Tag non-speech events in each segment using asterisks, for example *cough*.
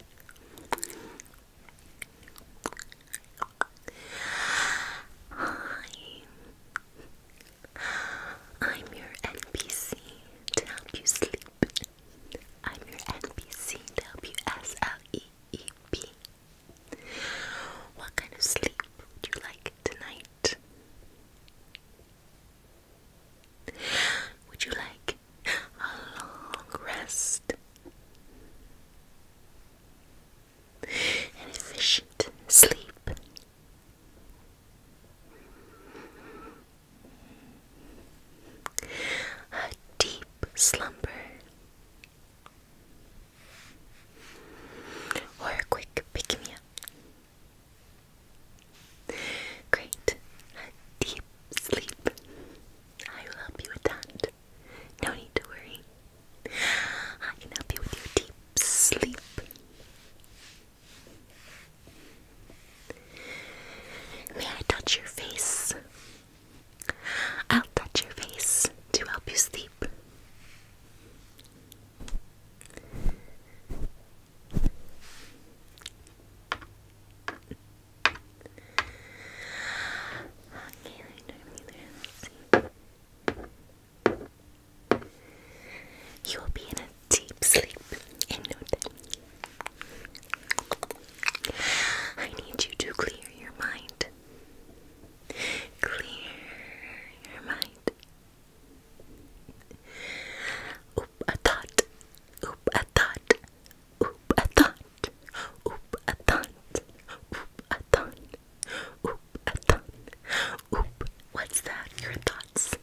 Hi, I'm your NPC to What kind of sleep would you like tonight? Would you like a long rest. An efficient sleep. A deep slumber. Or quick pick me up. Great. A deep sleep. I will help you with that. No need to worry. I can help you with your deep sleep. May I touch your face? I'll touch your face to help you sleep. Okay, let me see. You will be in a deep sleep in no time. I need you to clear your mind. Clear your mind. Oop a thought. Oop a thought. Oop a thought oop a thont, oop a thont, oop a thont, oop. What's that? Your thoughts.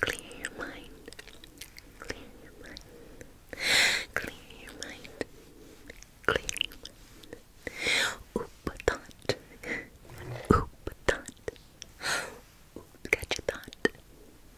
Clear your mind, clear your mind, clear your mind, clear Oop a thont, oop a thont, oop. your thought.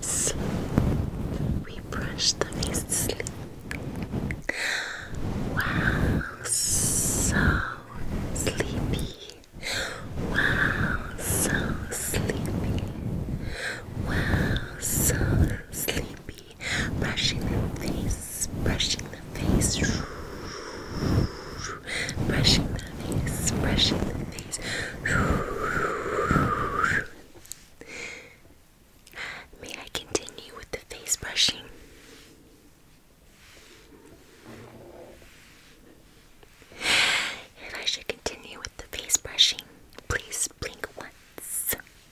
Sleep. We brush the face to sleep. Wow, so sleepy. Wow, so sleepy. Wow, so sleepy. Brushing, the face, brushing the face, brushing the face, brushing the face. May I continue with the face brushing? If I should continue with the face brushing, please blink once.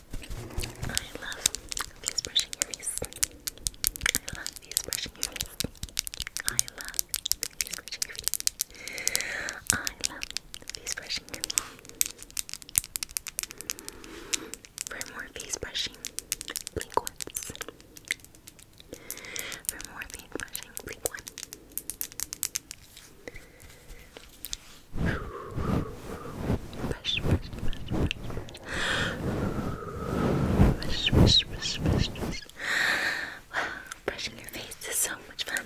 I love these brushing your face. I love these brushing your face. I love these brushing your face. I love these brushing your face. For more face brushing, blink For more face brushing, blink Brush, brush, brush, brush. Brush, brush, brush, brush, brush. Wow, brushing your face is so much fun.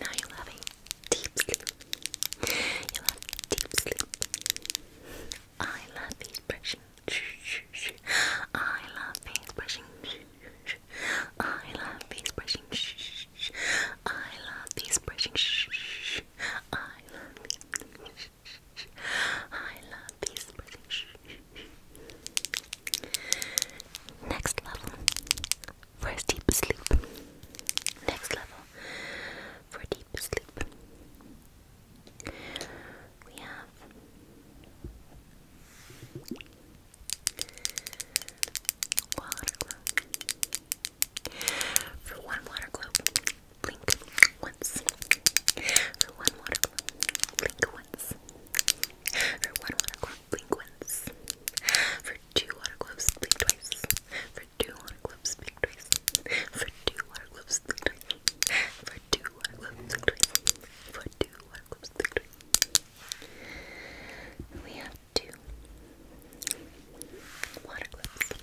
Now you'll have a deep sleep. You'll have deep sleep. I love face brushing. I love face brushing. I love face brushing. I love face brushing. I love face I love peace Next level for deep sleep. Next level for deep sleep. We have water, for one water globe, blink once. For one water globe, blink once. For one water globe, blink once. For two water globes, blink twice. For two water globes, blink twice. For two water globes, blink twice. For two water globes, blink twice. For two water globes, blink twice. We have two water globes.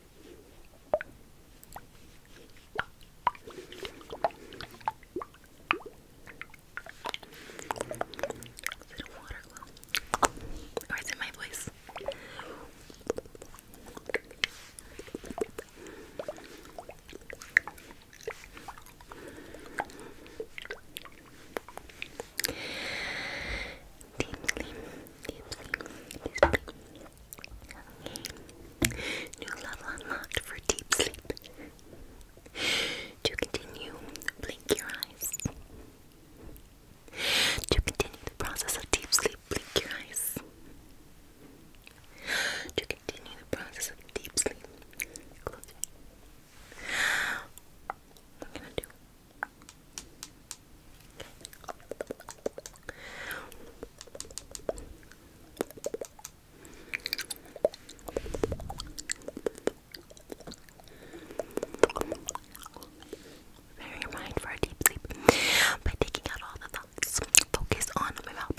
Is it a water glow? Or oh, is it my voice? deep sleep, deep sleep, deep sleep. Okay. New level unlocked for deep sleep. To continue, blink your eyes. To continue the process of deep sleep, blink your eyes. To continue the process of deep sleep, close your eyes. Very mind for a deep sleep by taking out all the thoughts. Focus on my mouth.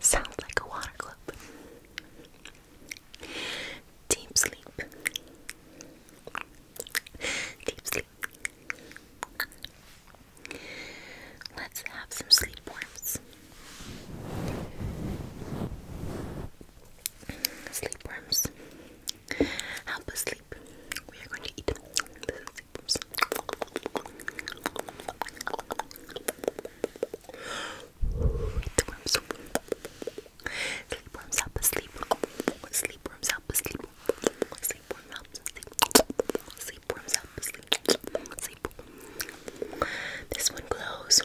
Sounds like a water club. Deep sleep. Deep sleep. Let's have some sleep worms. Sleep worms help us sleep. We are going to eat. This is Eat the worms. Sleep worms help us sleep. Sleep worms help us sleep. Sleep worms help us sleep. Sleep worms help us sleep. Sleep. This one glows.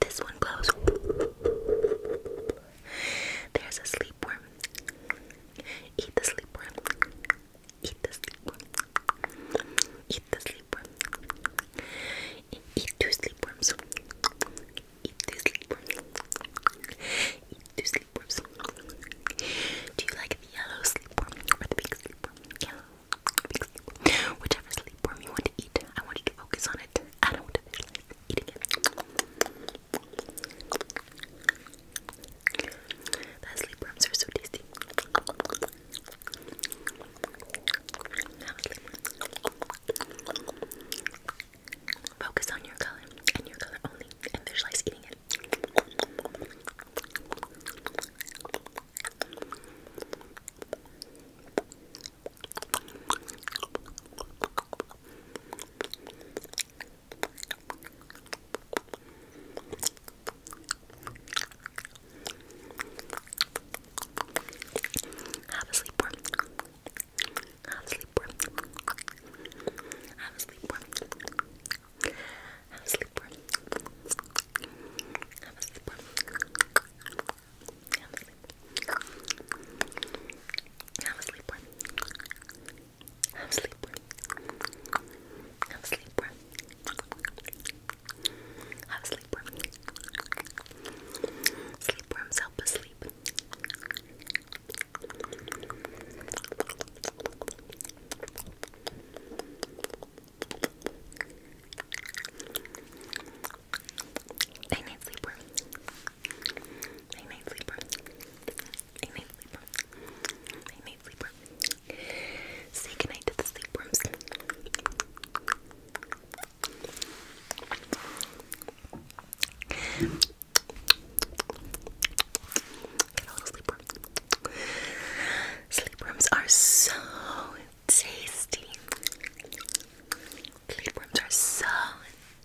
This one glows. There's a sleepworm. Eat the sleepworm. Eat the sleepworm. Eat the sleepworm. Eat two sleepworms. Eat two sleepworms. Eat two sleepworms. Do you like the yellow sleepworm or the pink sleepworm? Yellow, pink sleepworm. Whichever sleepworm you want to eat, I want you to focus on it. I don't want to visualize eating it. That sleep worms are so tasty. Focus on your color and your color only and visualize eating it. Have a sleep warm. Have a sleep warm. Have a sleep warm. Have a sleep warm. Have a sleep warm. Have a sleep warm. Have a I'm a sleeper. I'm a sleeper. I'm a sleeper. I'm a sleeper. Sleepworms help us sleep. Night night sleeper. Night night sleeper. Night night sleeper. Night night sleeper. Say goodnight to the sleepworms. Get a little are so tasty. Sleep rooms are so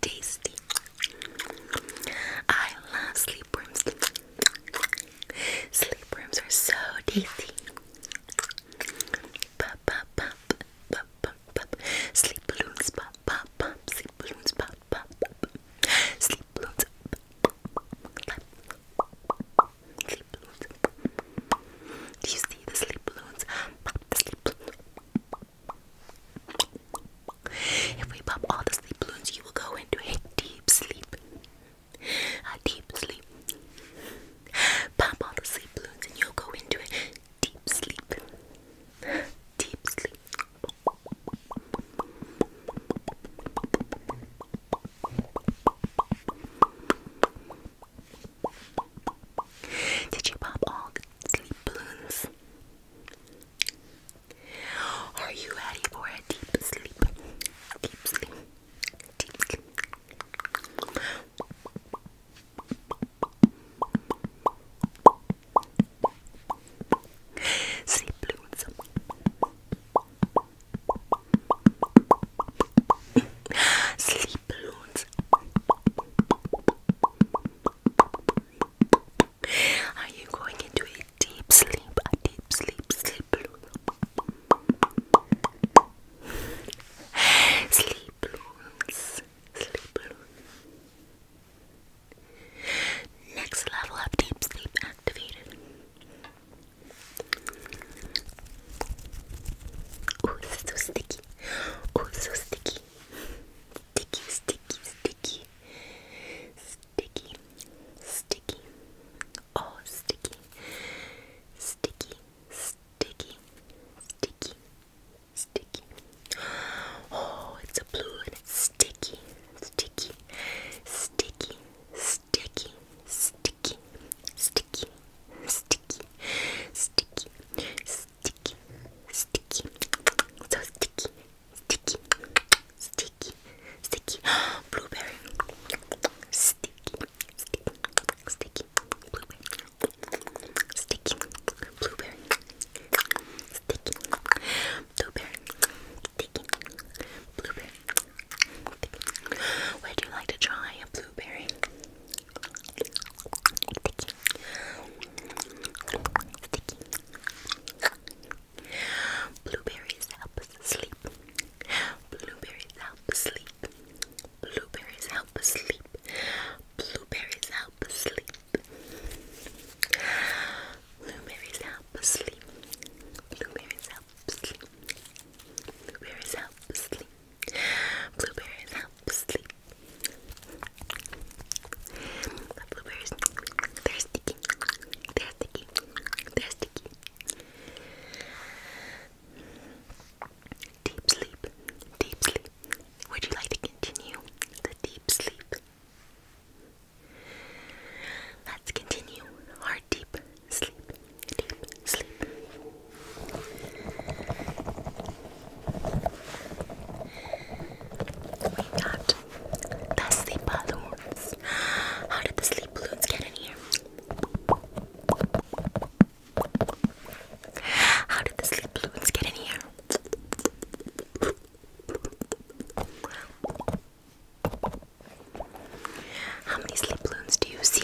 tasty. I love sleep worms. Sleep worms are so tasty. Pop, pop, pop, pop, pop, pop. Sleep balloons, pop, pop, pop. Sleep balloons, pop, pop, Sleep balloons, Sleep balloons. Do you see the sleep balloons? Pop sleep balloons. If we pop all the sleep balloons, you will go into a deep sleep. A deep sleep. Pop all the sleep balloons and you'll go into a deep sleep. Deep sleep. Did you pop all the sleep balloons? Are you ready for a deep sleep? Deep sleep. Sleep balloons. Sleep balloons. Are you going into a deep sleep? A deep sleep, sleep. balloons. Sleep balloons. Next level of deep sleep activated. Oh, this is so sticky. Oh, so sticky sticky, sticky, sticky, sticky, sticky, oh sticky, sticky, sticky, sticky, sticky. Oh, it's blue and it's sticky, sticky, sticky, sticky, sticky, sticky, sticky, sticky, sticky sticky, sticky, so sticky, sticky, sticky, sticky, *gasps* blueberry, sticky, sticky, sticky, blueberry, sticky, blueberry, sticky, blueberry, sticky, Would you like to try a blueberry? Blueberries help us sleep. Blueberries help sleep. Blueberries help sleep. Blueberries help sleep. Blueberries help sleep. Blueberries help sleep. Blueberries help sleep. Blueberries help sleep. The blueberries, they're sticky, they're sticky, they're sticky. Deep sleep, deep sleep. Would you like to continue the deep sleep? Let's continue our deep sleep, deep sleep. We got the sleep balloons. How did the sleep balloons get in here? How did the sleep balloons get in here? How many sleep balloons do you see?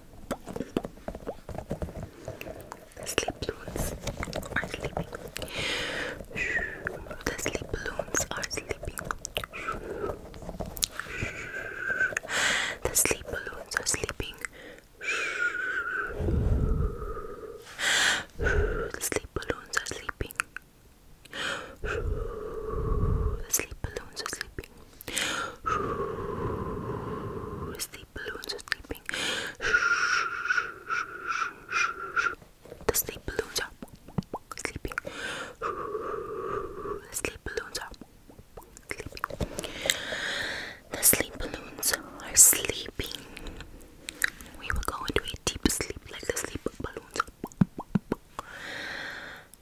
The sleep balloons are sleeping. The sleep balloons are sleeping. The sleep balloons are sleeping. The sleep balloons are sleeping. The sleep balloons are sleeping. Sleep balloons are sleeping. The sleep balloons are sleeping. The sleep balloons are sleeping. The sleep balloons are sleeping. We will go into a deep sleep like the sleep balloons.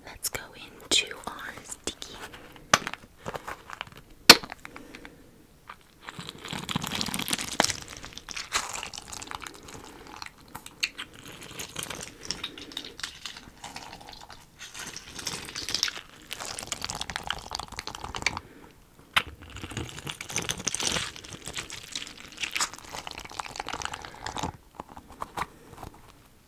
Let's go into our sticky.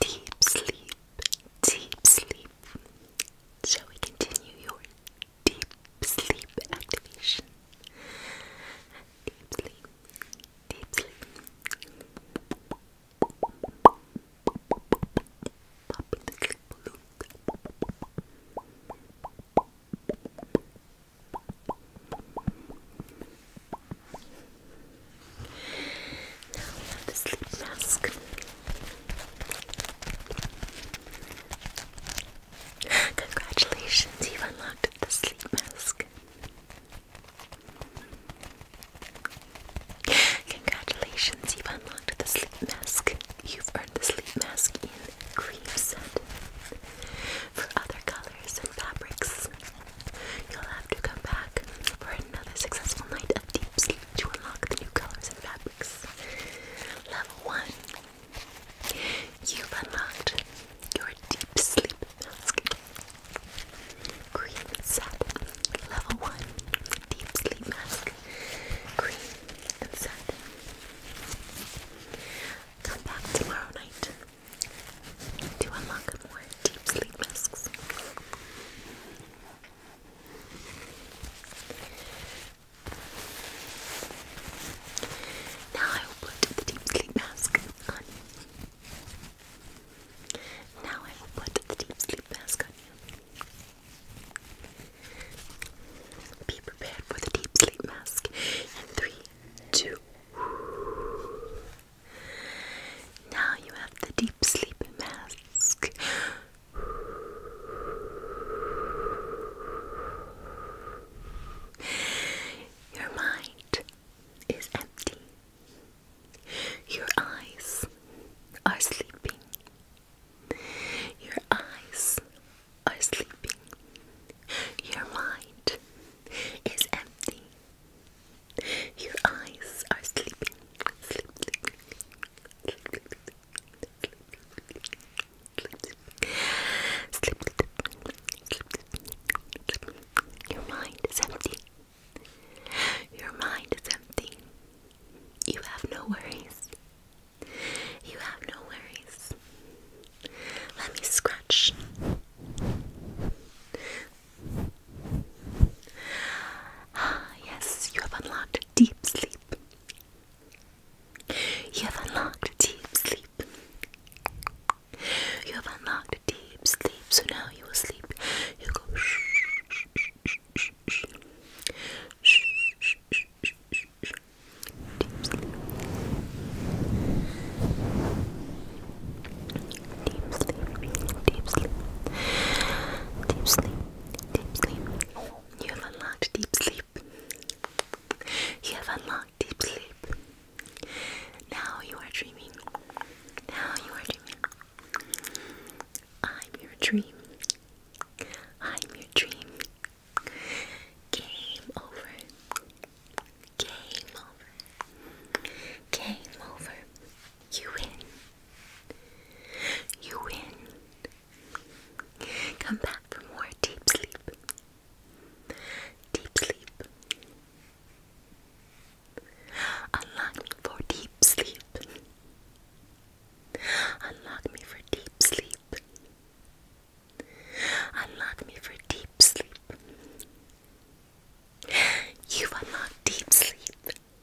Deep sleep, deep sleep, sleep. Shall we continue your deep sleep activation? Deep sleep, deep sleep. Popping the sleep balloon. Now we have the sleep mask. Congratulations, you've unlocked the sleep mask. Congratulations, you've unlocked the sleep mask. You've earned the sleep mask in cream set. For other colors and fabrics, you'll have to come back for another successful night of deep sleep to unlock the new colors and fabrics. Level 1. unlocked your deep sleep mask. Cream satin. Level 1. Deep sleep mask. Cream and satin. Come back tomorrow night to unlock more deep sleep masks. Now I will put the deep sleep mask on you. Now I will put the deep sleep mask on you. Be prepared for the deep sleep mask in three, two. Now you have the deep sleep mask. Your mind is empty. Your eyes are sleeping. Your eyes are sleeping. Your mind is empty. Your eyes are sleeping. Sleep. Your mind is empty. Your mind is empty. You have no worries. You have no worries. Let me scratch. Ah, yes, you have unlocked deep sleep. You have unlocked deep sleep. You have unlocked deep sleep, so now you will sleep. You go shh, shh, shh, shh, shh, shh, shh, shh, deep sleep. Deep sleep, deep sleep, deep sleep, Deep sleep. You have unlocked deep sleep. You have unlocked deep sleep. Now you are dreaming. Now you are dreaming. I'm your dream. I'm your dream. Game over. Game over. Game over. You win. You win. Come back for more deep sleep. Deep sleep. Unlock me for deep sleep. Unlock me for deep sleep. Unlock me for deep sleep. You've deep sleep.